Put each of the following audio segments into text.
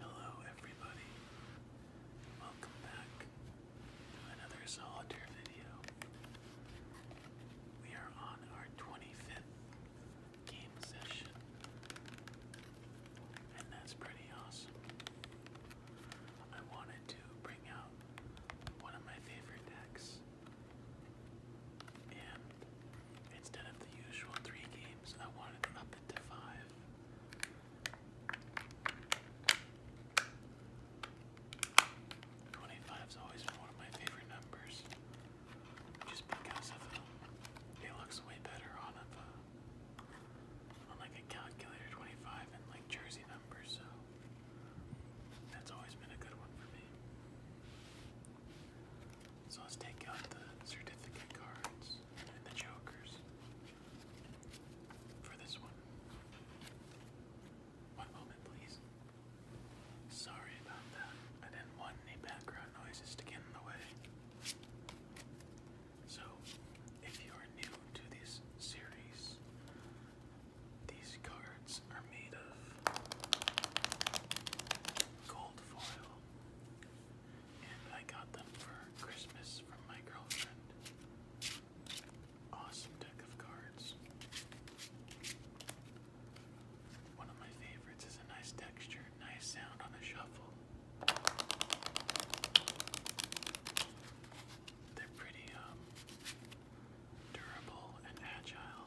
Hello, everybody. Welcome back another solitaire video. We are on our 25th game session, and that's pretty awesome. I wanted to bring out one of my favorite decks, and instead of the usual three games, I wanted up it five. 25's always been one of my favorite numbers. Just because of uh, it looks way better on a uh, on like a calculator 25 and like jersey numbers, so that's always been a good one for me. So let's take out the certificate cards and the jokers for this one. One moment, please. Sorry about that. I didn't want any background noises to get in the way. So, if you are new to this series, these cards are made of gold foil, and I got them for Christmas from my girlfriend. Awesome deck of cards. One of my favorites is a nice texture, nice sound on the shuffle. They're pretty um, durable and agile.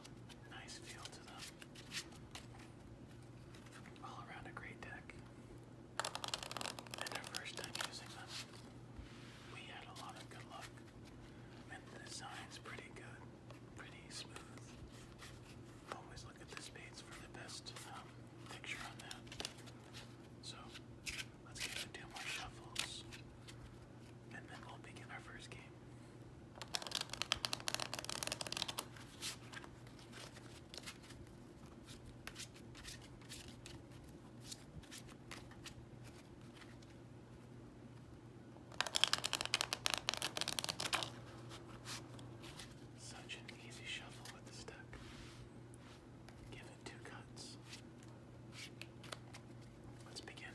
Nice feel to them. All around a great deck. And our first time using them, we had a lot of good luck the design's pretty good, pretty smooth. Always look at this page for the best um, picture on that. So let's give it two more shuffles, and then we'll begin our first game. Such an easy shuffle with the stick. Give two cuts. Let's begin.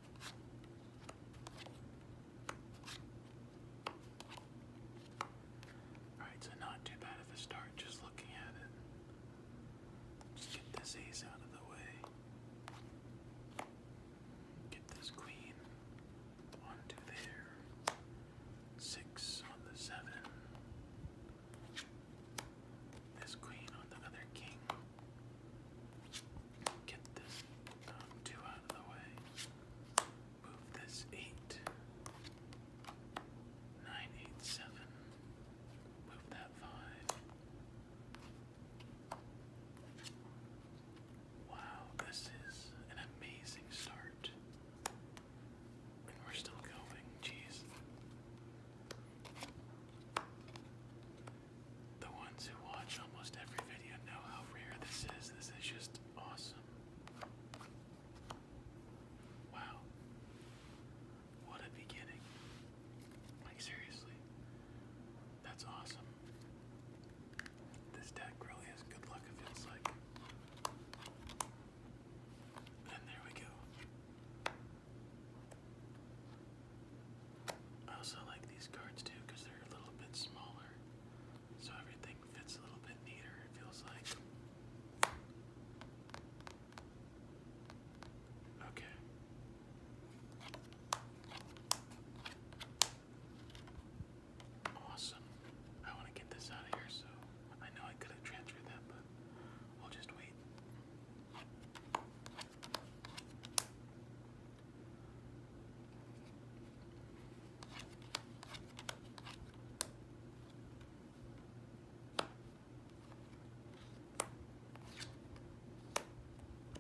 Alright, so not too bad of a start just looking at it. Just get this ace out of the way. Get this queen onto there. Six on the seven. This queen on the other king. Get this two out of the way. Move this eight. Nine, Move that five. Wow, this is an amazing start. And we're still going, jeez. The ones who watch almost every video know how rare this is. This is just awesome. Wow. What a beginning. Like, seriously. That's awesome. This deck really is good luck, it feels like. And there we go. I also like these cards too because they're a little bit smaller, so everything fits a little bit neater, it feels like. Okay. Awesome. I want to get this out of here, so I know I could have transferred that, but we'll just wait.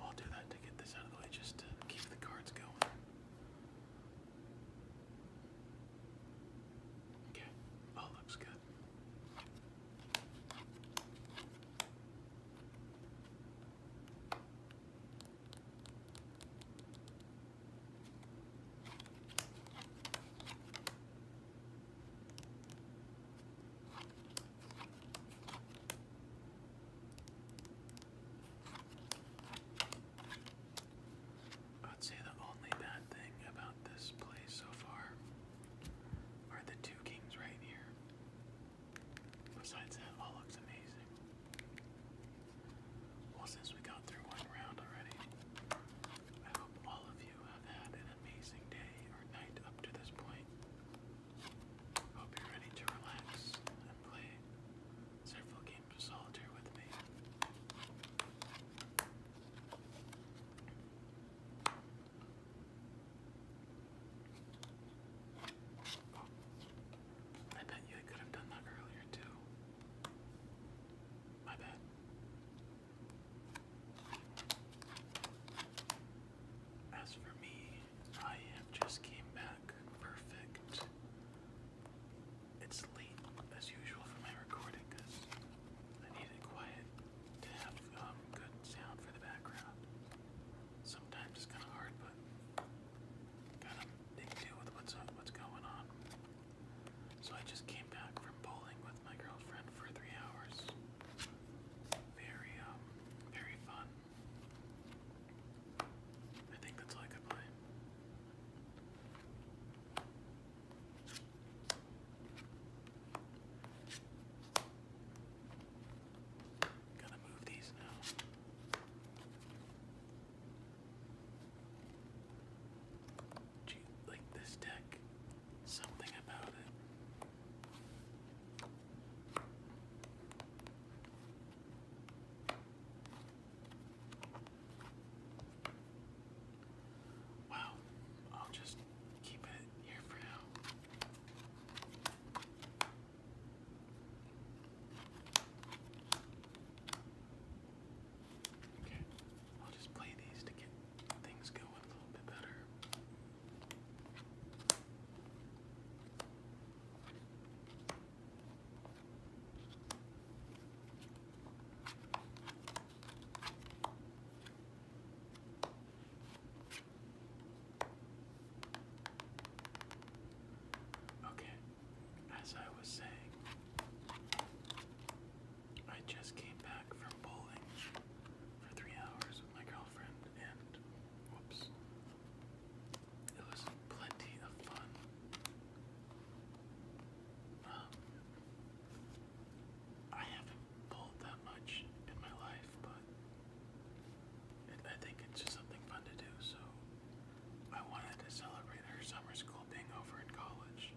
I'll do that to get this out of the way just keep the cards going. Okay, all looks good. I'd say the only bad thing about this place so far are the two kings right here. Besides that, all looks amazing. Well, since we got through one round already, I hope all of you have had an amazing day or night up to this point. Hope you're ready to relax and play several games of solitaire with me. I bet you I could have done that earlier too. My bad. As for me, I just came back perfect. It's late as usual for my recording I need quiet to have um, good sound for the background. Sometimes it's kind of hard, but kind of deal with what's what's going on. So I just came back from bowling with my girlfriend for three hours. Very, um, very fun. I think that's all I could play. Gonna move these now. Do you like this deck? Something about it. Wow, I'll just keep it here for now. Okay, I'll just play these to get things going a little bit better. Okay, as I was saying, I just came back from bowling for three hours with my girlfriend, and whoops, it was plenty of fun. Um, I haven't bowled that much in my life, but I think it's just something fun to do. So I wanted to celebrate her summer school being over in college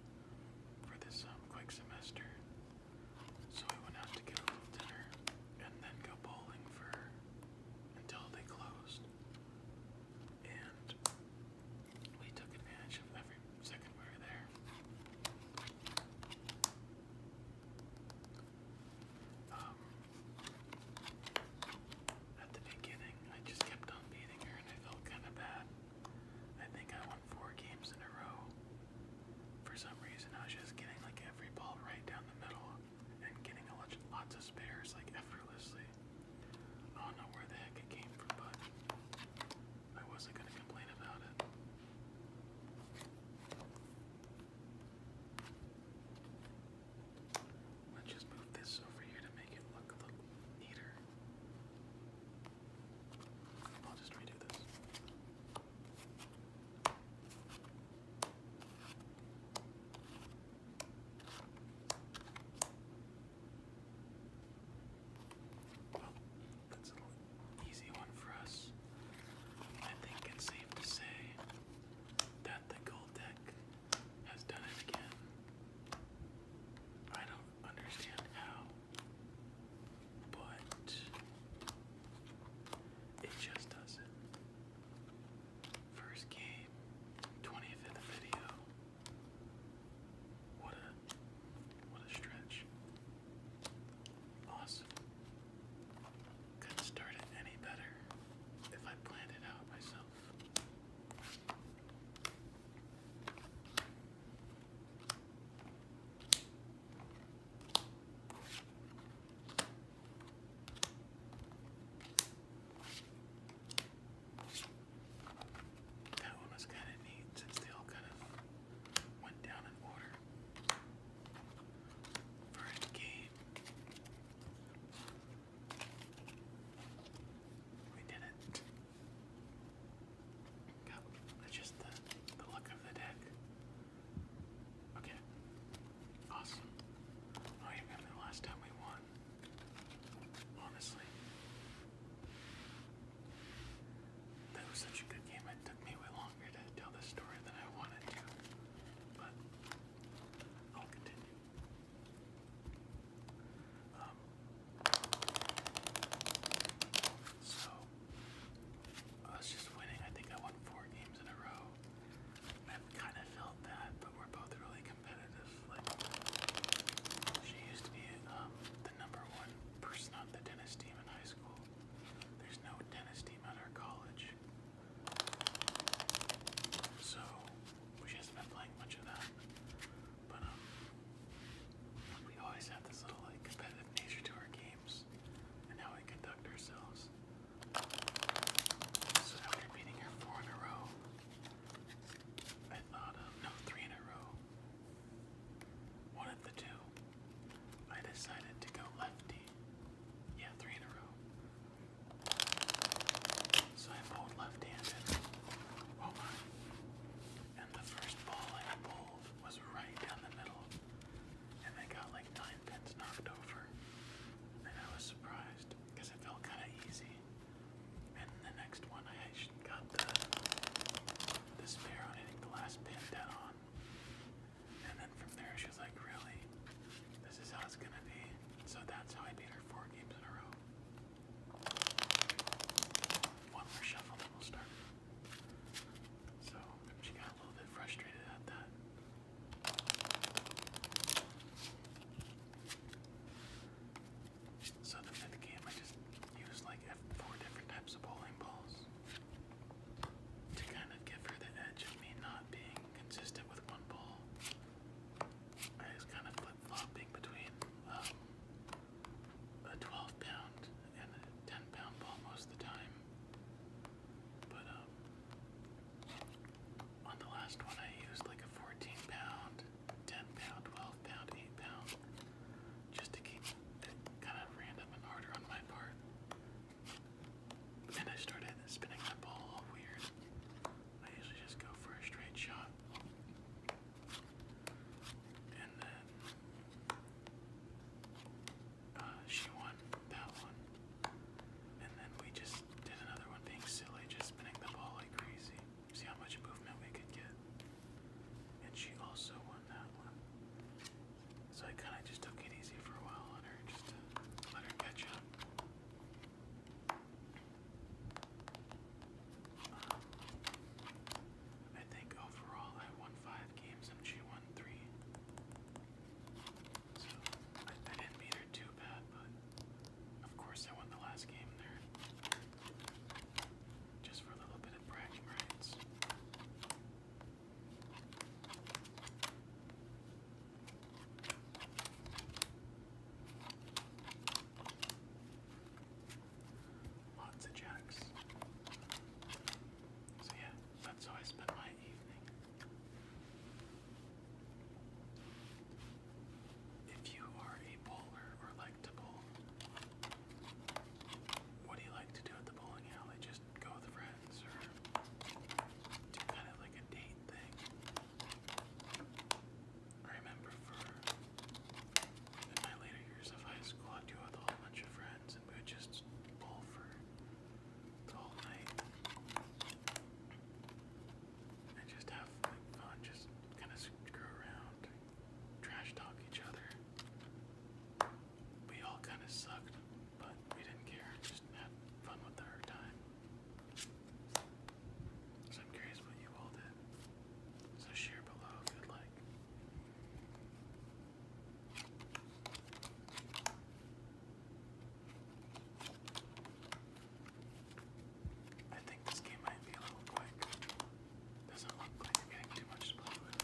for this um, quick semester. So I went out to get a little dinner and then go bowling for until they closed. And we took advantage of every second we were there. Um, at the beginning, I just kept on beating her and I felt kind of bad. I think I won four games in a row. For some reason, I was just getting like every ball right down the middle and getting a lot, of spares like effortlessly. I don't know where the heck it came from, but I wasn't gonna complain about it. Let's just move this over here to make it look a little neater. I'll just redo this. Well, that's an easy one for us. I think it's safe to say that the gold deck has done it again. I don't understand how, but it just does it. First game, 25th video. What a what a stretch. Awesome. Couldn't start it any better if I planned it out myself. That one was kind of neat since they kind of went down in order for game. We did it. God, that's just the, the look of the deck. Okay. Awesome. Oh, you remember the last time we won? Honestly. That was such a good game, it took me way longer longer to tell this story than I wanted to, but I'll continue. Um, so, I was just winning. I think I won four games in a row. I've kind of felt that, but we're both really competitive. Like, she used to be um, the number one person on the tennis team in high school. There's no tennis team at our college. So she hasn't been much of that. But um, we always have this little like competitive nature to our games and how we conduct ourselves. So after beating her four in a row, I thought um no three in a row. One of the two. I decided to go lefty yeah, three in a row. So I bowled left-handed. Oh my. And the first ball I bowled was right down the middle. And I got like nine pins knocked over. And I was surprised because it felt kind of easy. And the next one I got the, the spare on hitting the last pin dead on. And then from there, she was like, really? This is how it's gonna be. So that's how I beat her four games in a row. One more shuffle, then we'll start. So she got a little bit frustrated at that. So the fifth game, I just used like four different types of bowling balls to kind of give her the edge of me not being consistent with one ball. I was kind of flip flopping between um, a 12 pound and a 10 pound ball most of the time. But um, on the last one, I used like a 14 pound, 10 pound, 12 pound, 8 pound, just to keep it kind of random and harder on my part. And I started spinning the ball all weird. I usually just go for a straight shot. And then uh, she won that one. And then we just did another one being silly, just spinning the ball like crazy. See how much movement we could get. And she also won that one. So I kind of just took it easy for a while on her, just let her catch up. Um, I think overall I won five games and she won three. So I didn't beat her too bad, but of course I won the last game there. Just for a little bit of bragging rights. Lots of jacks. So, yeah, that's how I spend my evening. If you are a bowler or like to bowl, what do you like to do at the bowling alley? Just go with friends or do kind of like a date thing. I remember for in my later years of high school, I'd go with a whole bunch of friends and we would just bowl for the whole night and just have fun, just kind of screw around, trash talk each other. We all kind of sucked but we didn't care, just had fun with our time. So I'm curious what you all did. So share below if you'd like. I think this game might be a little quick. Doesn't look like you're getting too much play with.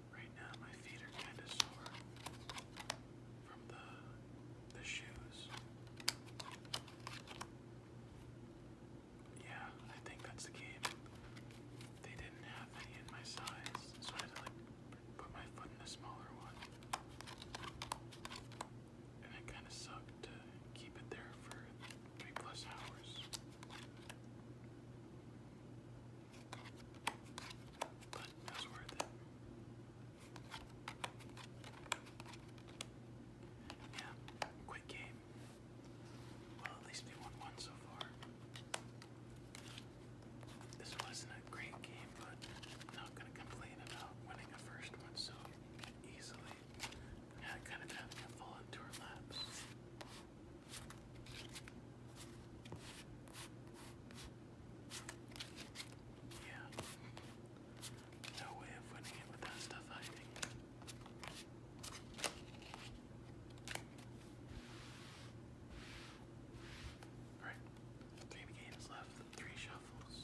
Right now my feet are kind of sore from the the shoes. Yeah, I think that's the game. They didn't have any in my size, so I had to like put my foot in a smaller one. And it kind of sucked to keep it there for three plus hours but it Yeah, quick game. Well, at least we won one so far. This wasn't a great game, but not gonna complain about winning a first one so easily. kind of having a fall into our yeah. No way of winning it with stuff, I Alright, three games left, three shuffles.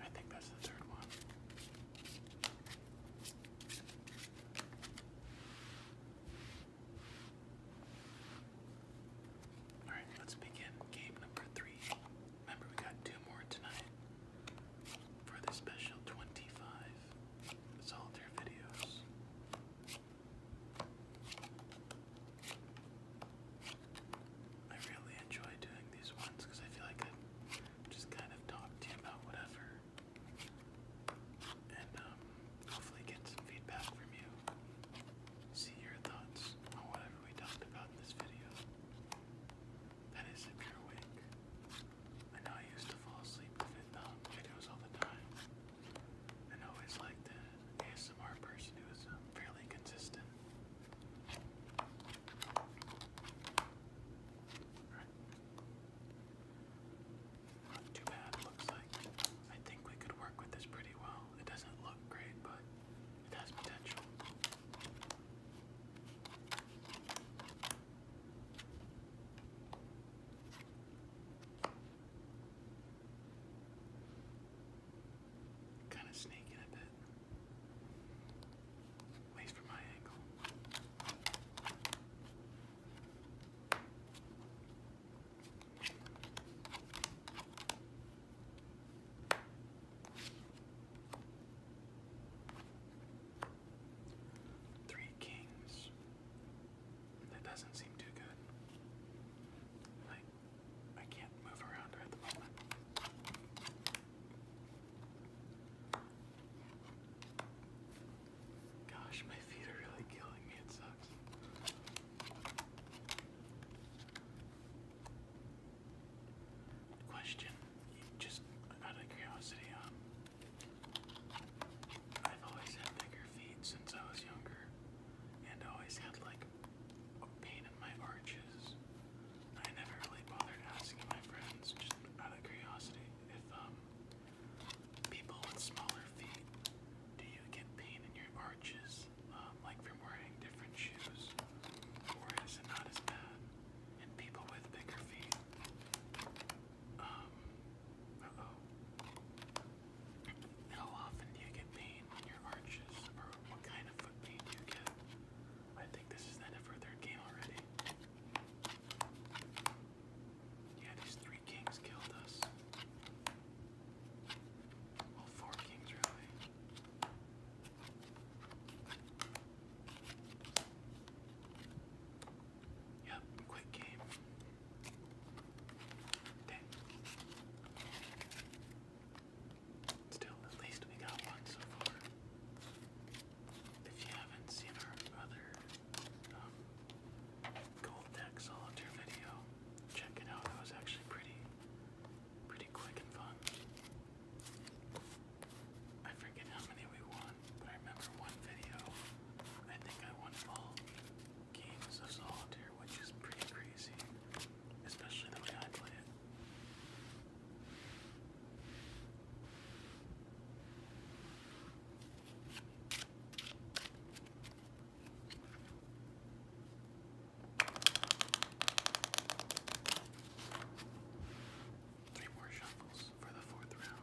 I think that's the third one. All right, let's begin game number three. Remember, we got two more tonight for the special 25 solitaire videos. I really enjoy doing these ones because I feel like I just kind of talk to you about whatever and um, hopefully get some feedback from you. See your thoughts on whatever we talked about in this video. That is if you're awake. I know I used to fall asleep with um, videos all the time. And always liked the ASMR person who was um, fairly consistent. Right. Not too bad, looks like. I think we could work with this pretty well. It doesn't look great, but it has potential. Kind of sneaking a bit. At for my angle. Three kings. That doesn't seem too good. Like, I can't move around her at the moment. Gosh, my feet are really killing me. It sucks. Question, just out of curiosity, um, I've always had bigger feet since I was younger, and always had like pain in my arches. I never really bothered asking my friends, just out of curiosity, if um, people with smaller feet, do you get pain in your arches, um, like from wearing different shoes, or is it not as bad? And people with bigger feet, um, uh How often do you get pain on your arches? Or what kind of foot pain do you get? I think this is the end of third game already. Yeah, these three kings killed us. Well, four kings, really. Yep, quick game. Dang. Still, at least we got one so far. If you haven't seen our other um, gold deck solitaire video, check it out. It was actually pretty, pretty quick and fun. I forget how many we won one, but I remember one video. I think I won all games of solitaire, which is pretty crazy, especially the way I play it. Three more shuffles for the fourth round.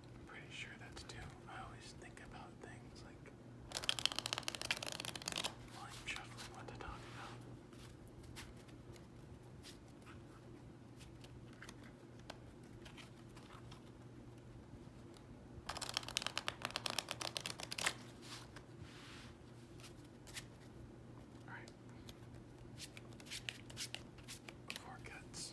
I'm pretty sure that's two. I always think about things like I'm chuckling what they're talking about. All right. Four cuts.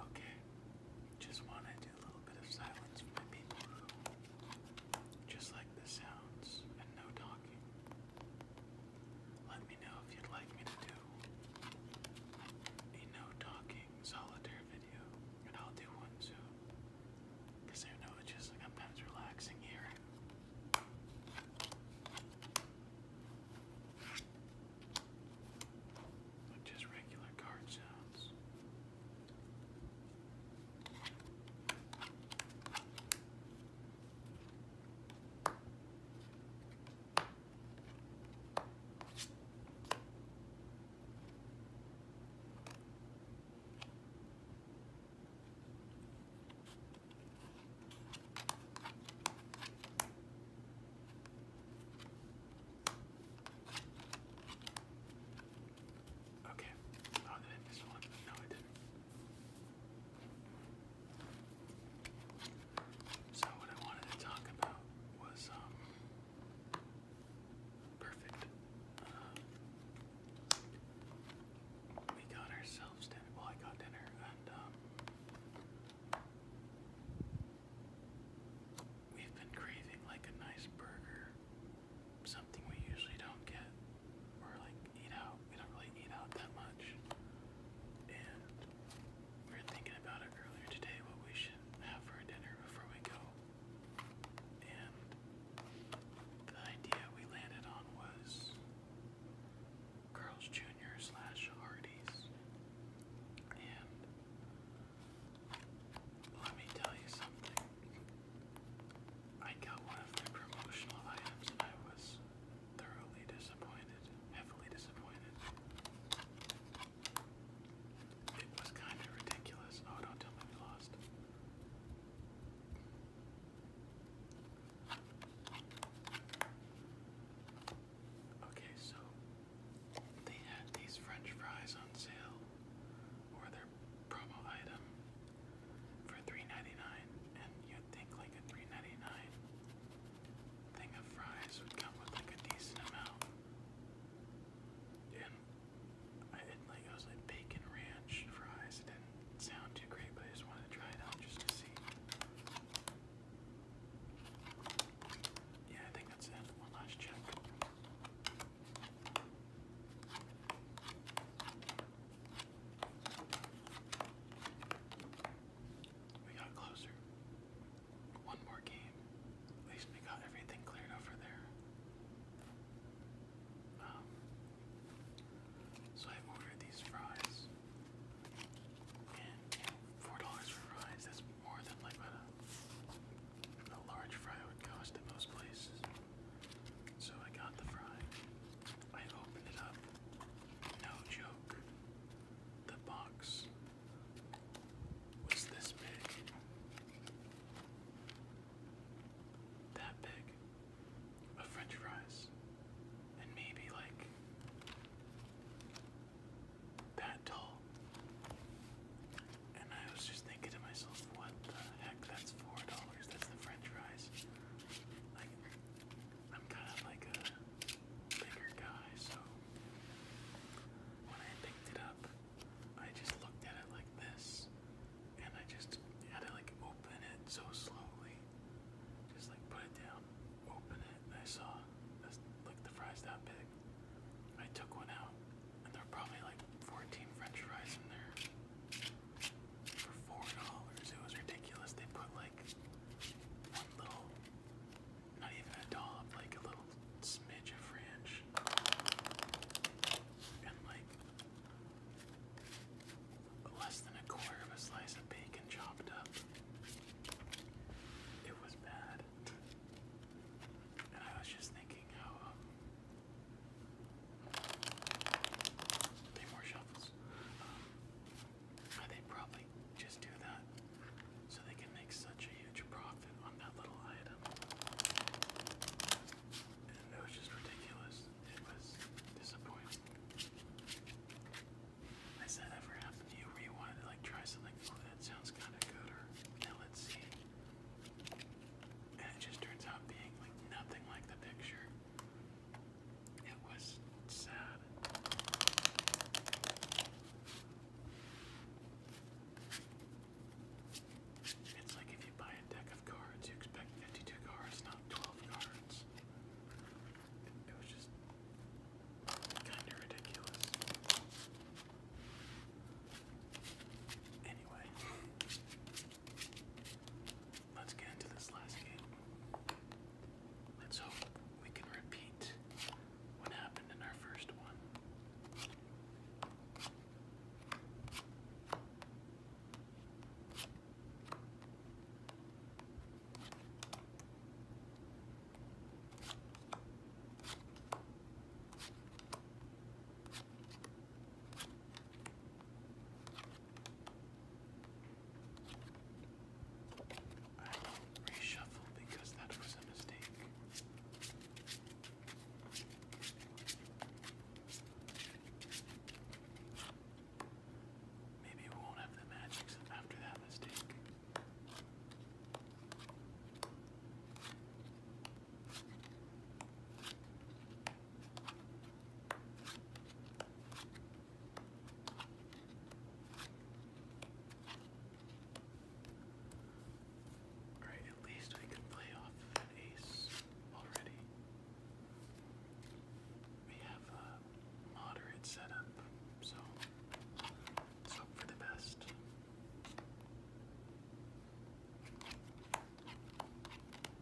Okay, just want to do a little bit of silence for people just like the sounds, and no talking. Let me know if you'd like me to do a no talking solitaire video, and I'll do one soon. Because I know it's just like sometimes relaxing here. Like just regular card sounds. Okay. Oh, did I miss one? No, I didn't. So what I wanted to talk about was um, perfect. Uh, we got ourselves dinner. Well, I got dinner, and um, we've been craving like a nice burger something we usually don't get or like eat out. We don't really eat out that much. And we were thinking about it earlier today what we should have for dinner before we go. And the idea we landed on was Carl's Jr. slash Hardee's. And let me tell you something. I got one of their promotional items and I was thoroughly disappointed, heavily disappointed. It was kind of ridiculous. Oh, don't tell me we lost. Okay, so they had these French fries on sale, or their promo item, for 3 and you'd think like a 3 thing of fries would come with like a decent amount. And I like, was like bacon ranch fries. It didn't sound too great, but I just wanted to try it out just to see. Yeah, I think that's it. One last check. We got closer. One more game. At least we got everything cleared over there. Um, so I ordered these fries. And four dollars for fries, that's more than like what a, large fry would cost in most places. So I got the fry. I opened it up. No joke. The box was this big. That big. Of french fries. And maybe like that tall. And I was just thinking to myself, what the heck? That's $4. That's the french fries. I'm kind of like a bigger guy, so when I picked it up, I just looked at it like this, and I just had to like open it so slowly. Just like put it down, open it, and I saw this, like the fries that big. I took one out, and there were probably like 14 french fries in there for four dollars. It was ridiculous. They put like one little, not even a dollop, like a little smidge of ranch, and like less than a quarter of a slice of bacon chopped up. It was bad. And I was just thinking how um, Three more shuffles. Um, they probably just do that so they can make such a huge profit on that little item. And it was just ridiculous. It was disappointing. Has that ever happened to you where you wanted to like try something oh, that sounds kinda good or now let's see. And it just turns out being like nothing like the picture. It was sad. It's like if you buy a deck of cards, you expect 52 cards, not 12 cards. It, was just kind of ridiculous. Anyway, Let's get into this last game. Let's hope we can repeat what happened in our first one. I will reshuffle because that was a mistake. Maybe we won't have the magics after that mistake. Alright, at least we can play off an ace already. We have a moderate setup, so let's hope for the best.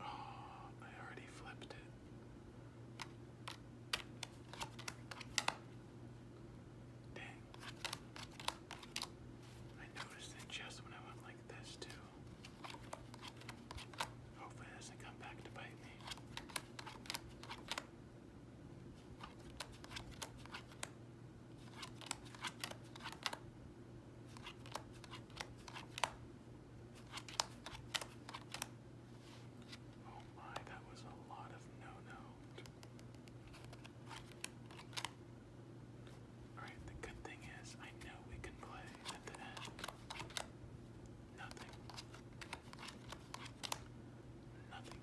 Oh, I already flipped it. Dang. I noticed it just when I went like this, too. Hopefully, it doesn't come back to bite me. Oh my, that was a lot of no-no. Alright, the good thing is I know we can play at the end. Nothing. Nothing.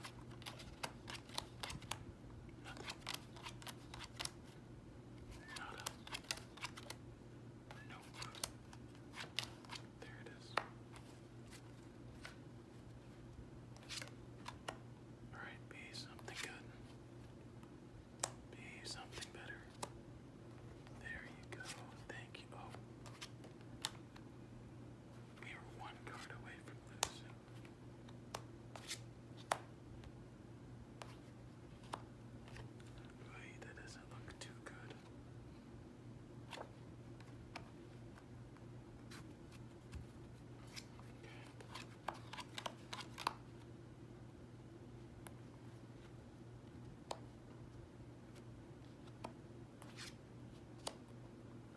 Alright, be something good. Be something better. There you go. Thank you. Oh. We were one card away from losing that doesn't look too good.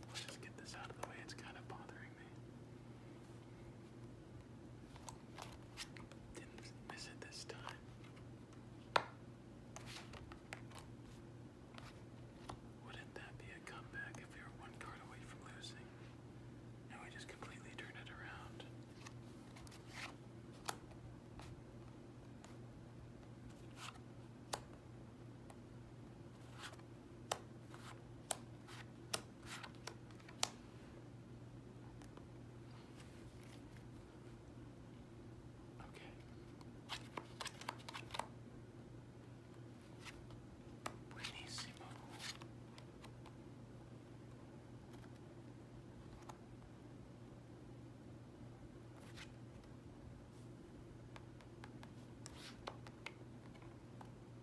Let's just get this out of the way, it's kind of bothering me. Didn't miss it this time. Wouldn't that be a comeback if we were one card away from losing? And we just completely turn it around. Okay. Buenísimo. I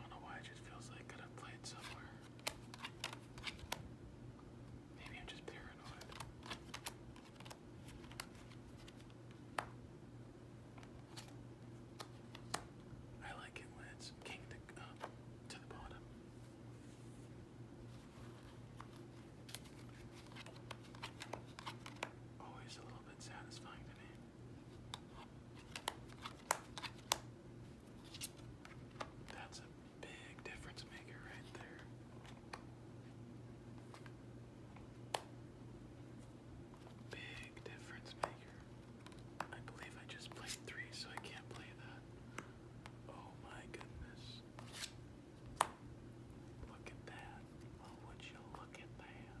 don't know why it just feels like I could have played somewhere. Maybe I'm just paranoid. I like it when it's kinked up uh, to the bottom. Always a little bit satisfying to me. That's a Big difference maker right there. Big difference maker. I believe I just played three, so I can't play that. Oh my goodness. Look at that. Oh, would you look at that?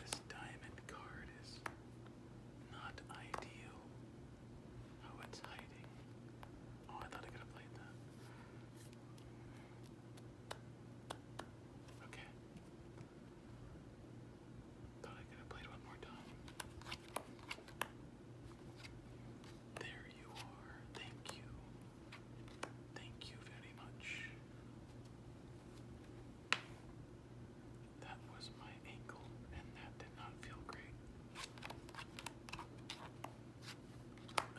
This diamond card is not ideal. Oh, it's hiding. Oh, I thought I could have played that. Okay. Thought I could have played one more time. There you are. Thank you. Thank you very much. That was my ankle, and that did not feel great.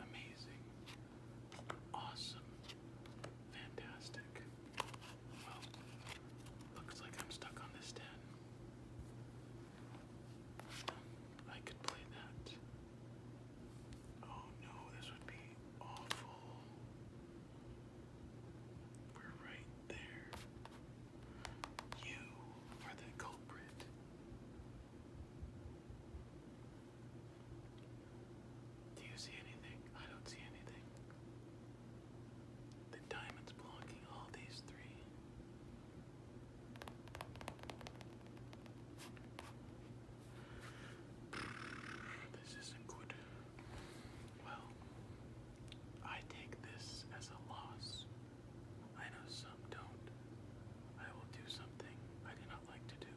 Amazing. Awesome. Fantastic. Well, looks like I'm stuck on this 10. I could play that. Oh no, this would be awful. We're right there. You are the culprit. Do you see anything? I don't see anything. The diamond's blocking all these three. This isn't good. Well, I take this as a loss. I know some don't. I will do something I do not like to do.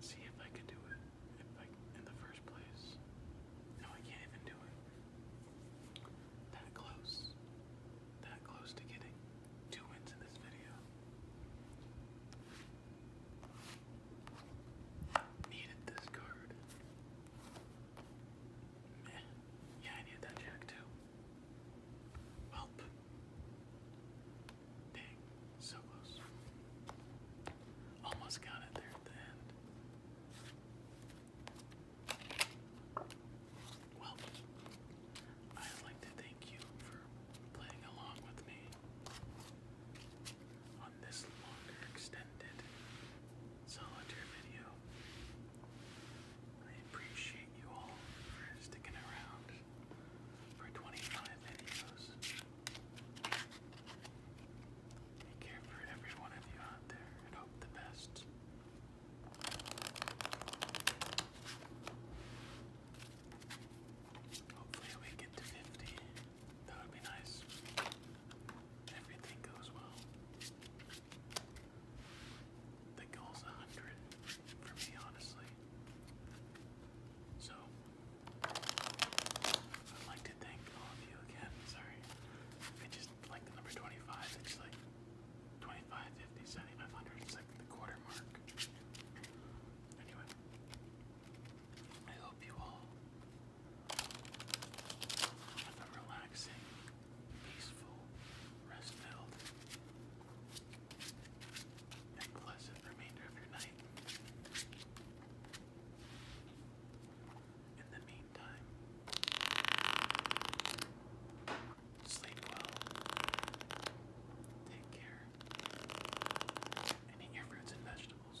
See if I can do it if I, in the first place. No, I can't even do it. That close that close to getting two wins in this video. Needed this card. Man, yeah, I needed that jack too. Welp. Dang, so close. Almost got it there at the end. Well, I'd like to thank you for playing along with me on this longer, extended, solitaire video. I appreciate you all for sticking around for 25 videos. I care for every one of you out there and hope the best Hopefully, we get to 50. That would be nice. Everything goes well. The goal's 100 for me, honestly. So, I'd like to thank all of you again. Sorry. I just like the number 25. It's 25, 50, 7500. It's quarter mark. Anyway, I hope you all have a relaxing, peaceful, rest and pleasant remainder of your night. In the meantime, sleep well, take care, eat your fruits and vegetables.